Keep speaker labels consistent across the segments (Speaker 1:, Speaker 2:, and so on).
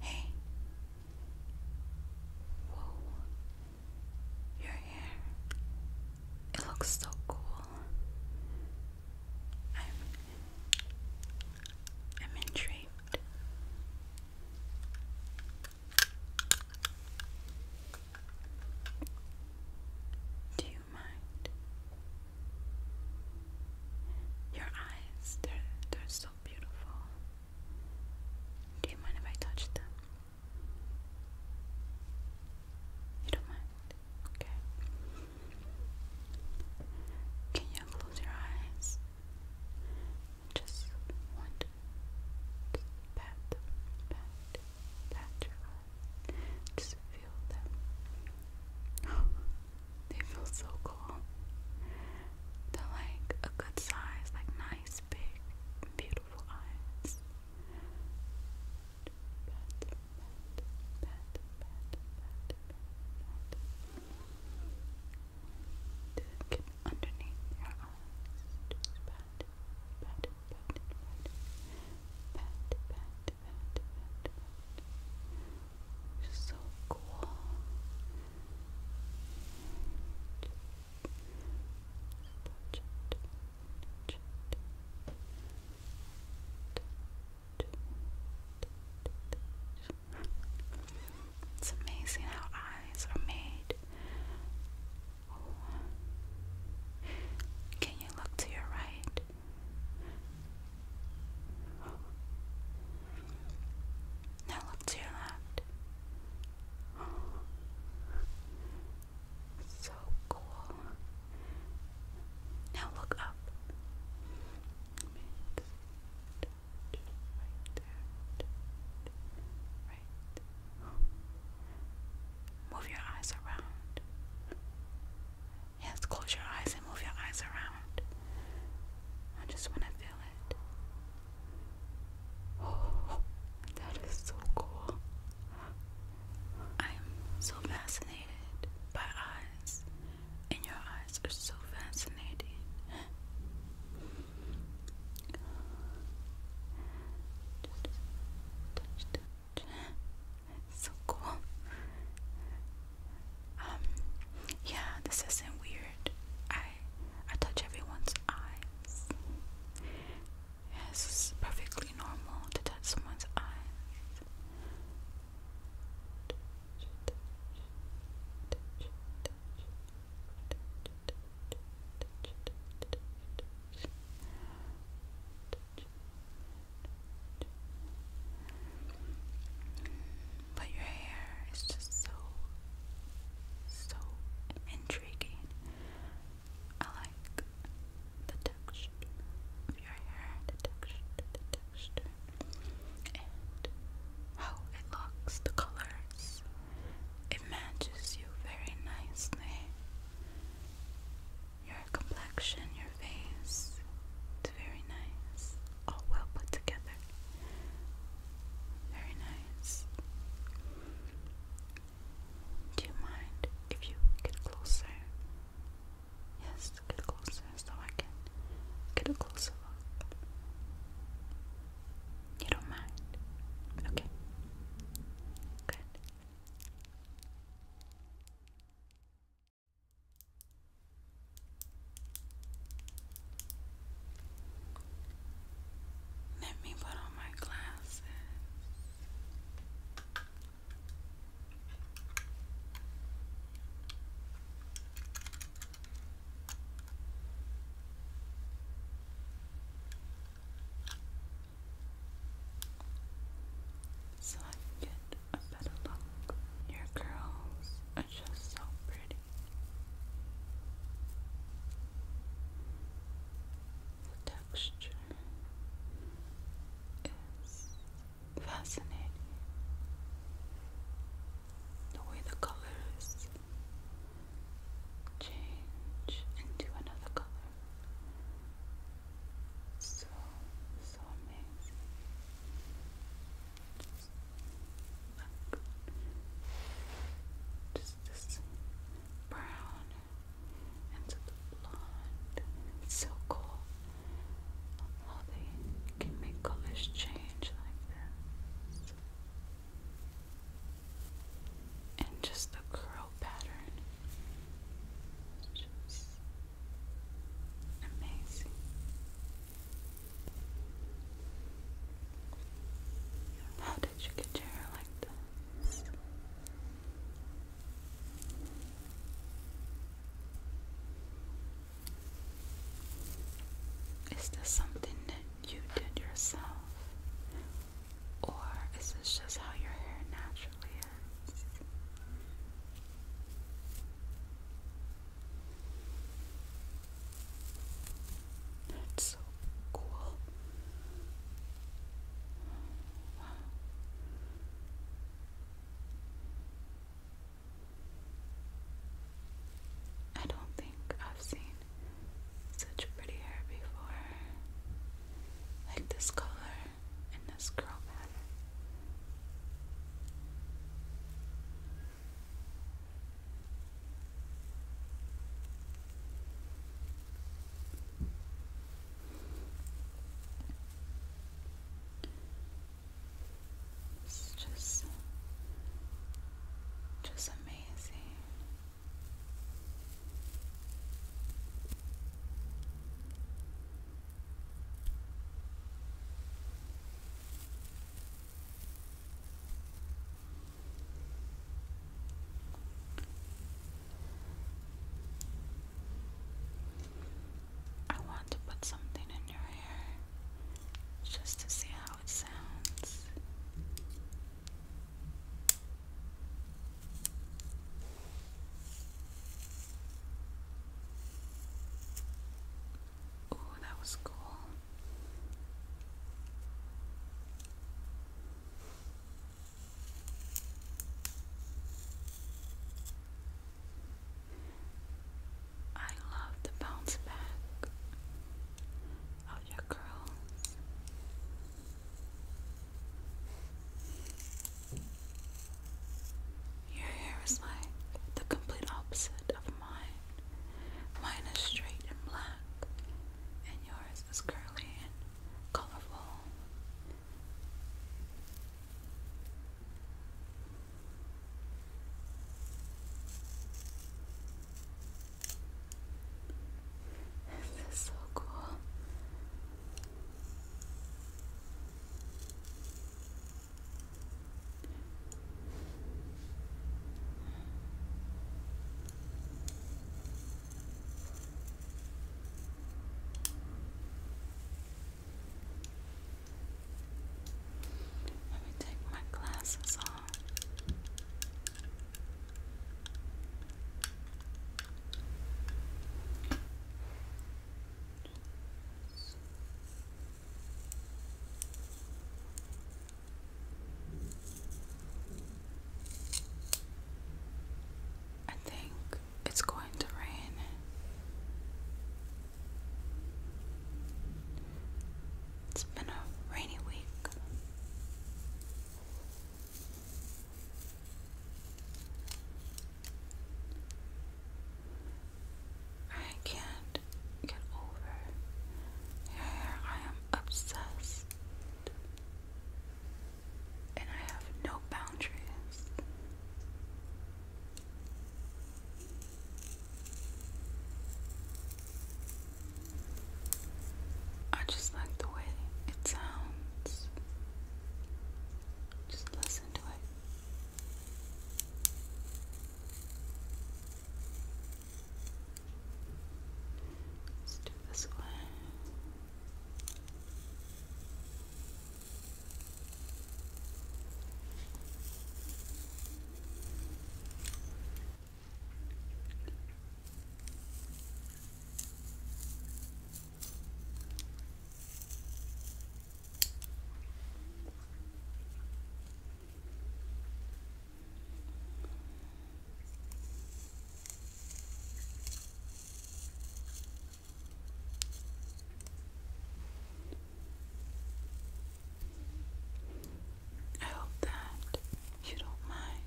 Speaker 1: Hey. Whoa. Your hair. It looks so cool. I'm I'm intrigued. Do you mind? Your eyes, they're, they're so so beautiful. Do you mind if I touch them? You don't mind? Okay. Can you close your eyes? Just want to pat, pat, pat your eyes. Just feel them. They feel so cool. They're like a good size, like nice, big, beautiful eyes. underneath your eyes. It's so cool. It's amazing how eyes are made. Can you look to your right? Now look to your left. So cool. Now look up. Move your eyes around. Yes, close your eyes and move your eyes around. I just want to feel that is so cool. I'm so fascinated by eyes, and your eyes are so fascinating. so cool. Um, yeah, this isn't weird. I I touch everyone's eyes. it's perfectly normal to touch someone's eyes. But your hair is just so, so intriguing. I like the texture of your hair, the texture, the texture, and how it looks, the colors. It matches you very nicely. Your complexion, your face looked very nice. All well put together. Very nice. Do you mind if you get closer? Yes, get closer so I can get a closer look. You don't mind? Okay. Good. Let me put on my glasses. So I get a better look. Your curls it's just so pretty. The texture is fascinating. The way the colors change into another color. So, so amazing. Back just this brown and the blonde. It's so cool how they can make colors change like this. And just the curl pattern. just amazing. How did you get your hair like this? Is this something that you did yourself? Or is this just how your hair naturally is? That's so cool. I don't think I've seen such pretty hair before. Like this color and this curl pattern. It's just just amazing. I want to put something in your hair just to see how it sounds. Ooh, that was cool. I love the bounce back of your curls. Your hair is like the complete opposite of mine. Mine is straight and black, and yours is curly and colorful. This is so cool. Let me take my glasses off. I think it's going to rain. It's been a rainy week. I can't get over. I am obsessed. And I have no boundaries. I just like the way it sounds. Just listen to it. Let's do this one. I hope that you don't mind.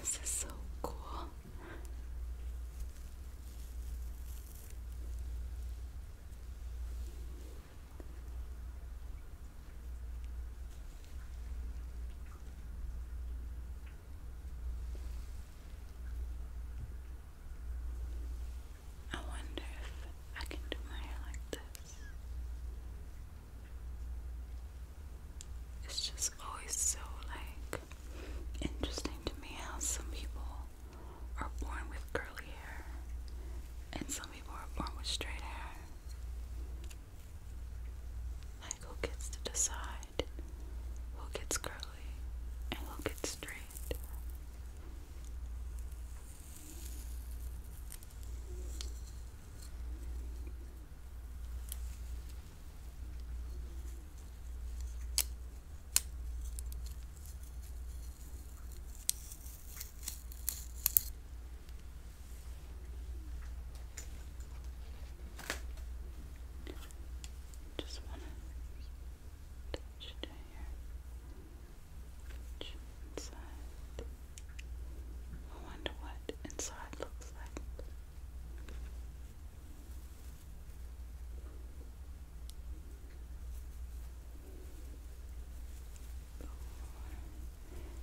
Speaker 1: This is so cool. I wonder if I can do my hair like this. It's just always so like interesting to me how some people are born with curly hair and some people are born with straight hair. Like who gets to decide who gets curly and who gets straight? Just want to touch it here. I wonder what inside looks like.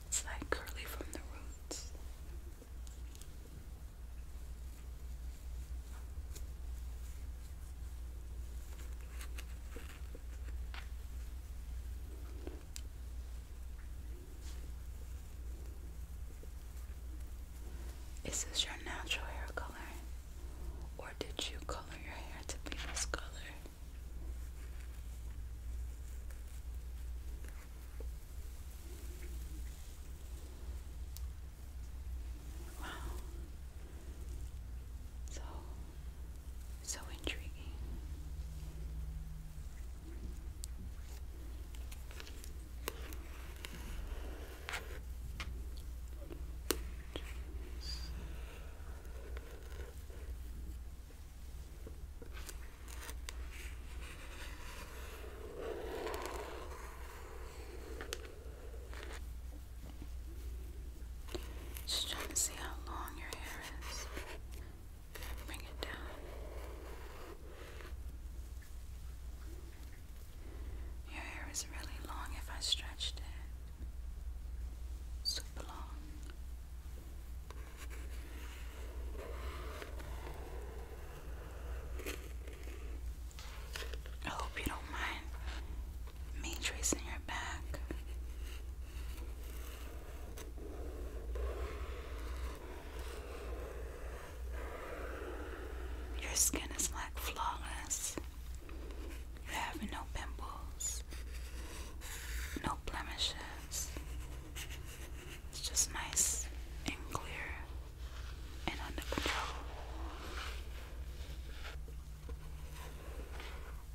Speaker 1: It's like curly from the roots. Is this your natural hair color? Or did you color your hair to be this color? Wow. So so intriguing. Just trying to see how long your hair is. Bring it down. Your hair is really long if I stretched it. Super long. I hope you don't mind me tracing your back. Your skin is like flawless. You have no pimples, no blemishes. It's just nice and clear and under control.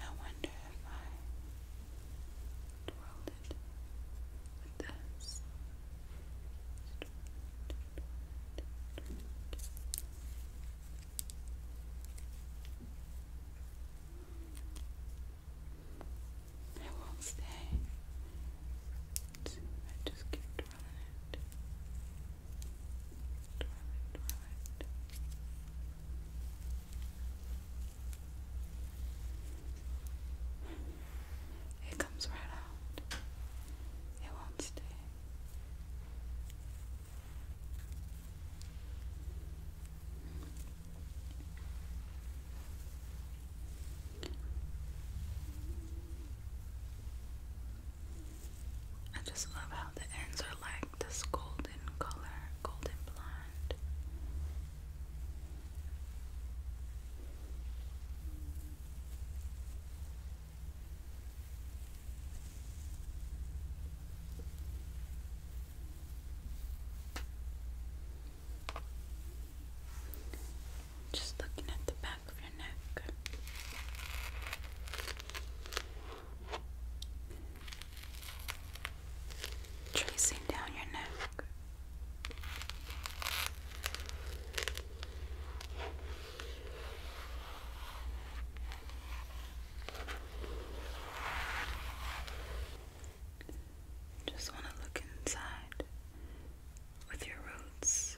Speaker 1: I wonder if I twirled it with this. I I won't stay. I just keep twirling it. Twirl it, It comes right out. It won't stay. I just love how the ends are like this golden color, golden blonde. Just looking at the back of your neck. Tracing down your neck. Just want to look inside with your roots.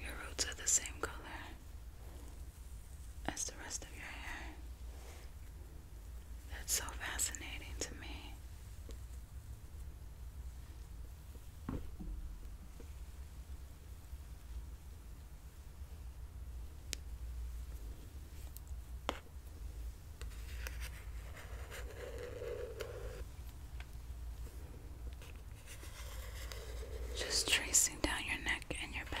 Speaker 1: Your roots are the same color as the rest of your hair. That's so fascinating to me. Just tracing down your neck and your back.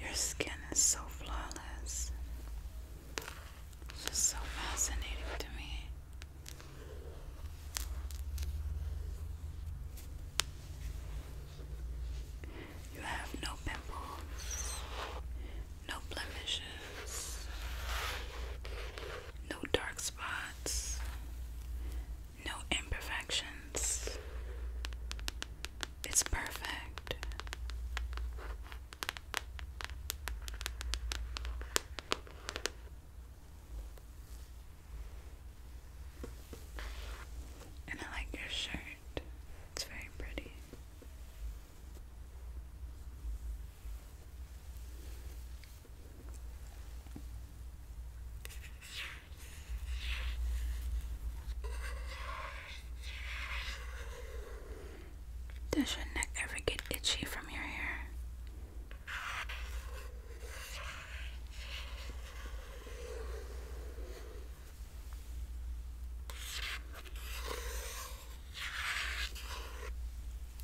Speaker 1: Your skin is so flawless. It's just so fascinating to me. You have no pimples. No blemishes. No dark spots. No imperfections. It's perfect. And I like your shirt. It's very pretty. Does your neck ever get itchy from your hair?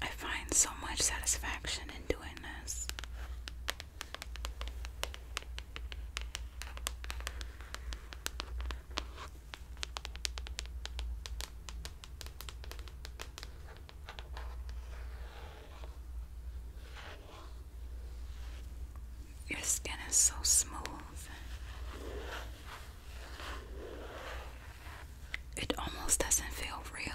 Speaker 1: I find so much satisfaction in doing this. Your skin is so smooth. It almost doesn't feel real.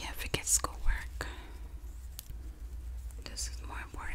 Speaker 1: Yeah, forget schoolwork. This is more important.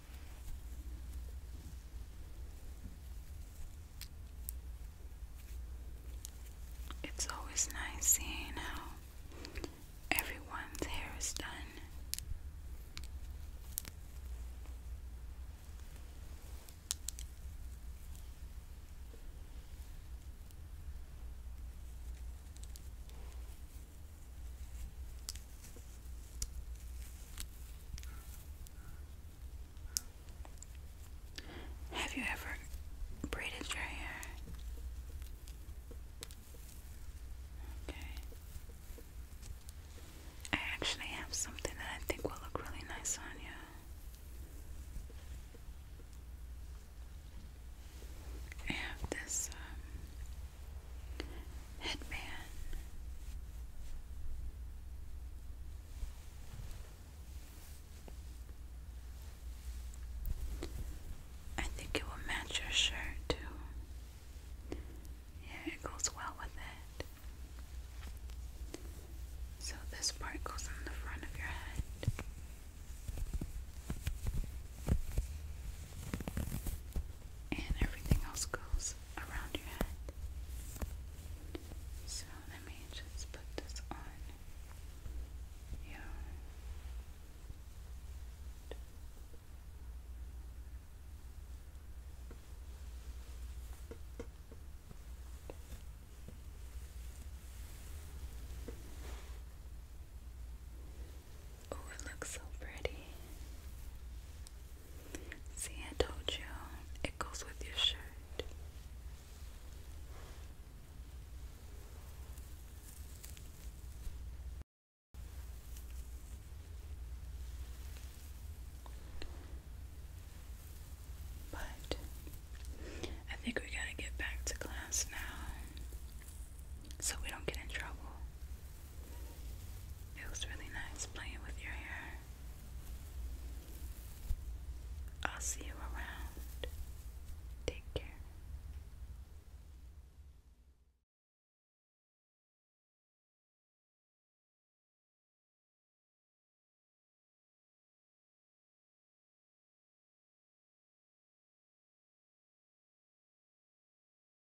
Speaker 1: It's always nice seeing how everyone's hair is done. Have you ever braided your hair? Okay. I actually have something that I think will look really nice on you. I have this um, headband. I think it will match your shirt too. Yeah, it goes well with it. So this part goes on the front of your head and everything else goes around your head. So let me just put this on you. Oh, it looks so pretty. See, I told you it goes with your shirt. But I think we gotta get back to class now so we don't get in trouble. It was really nice playing with your hair. I'll see you around. Take care.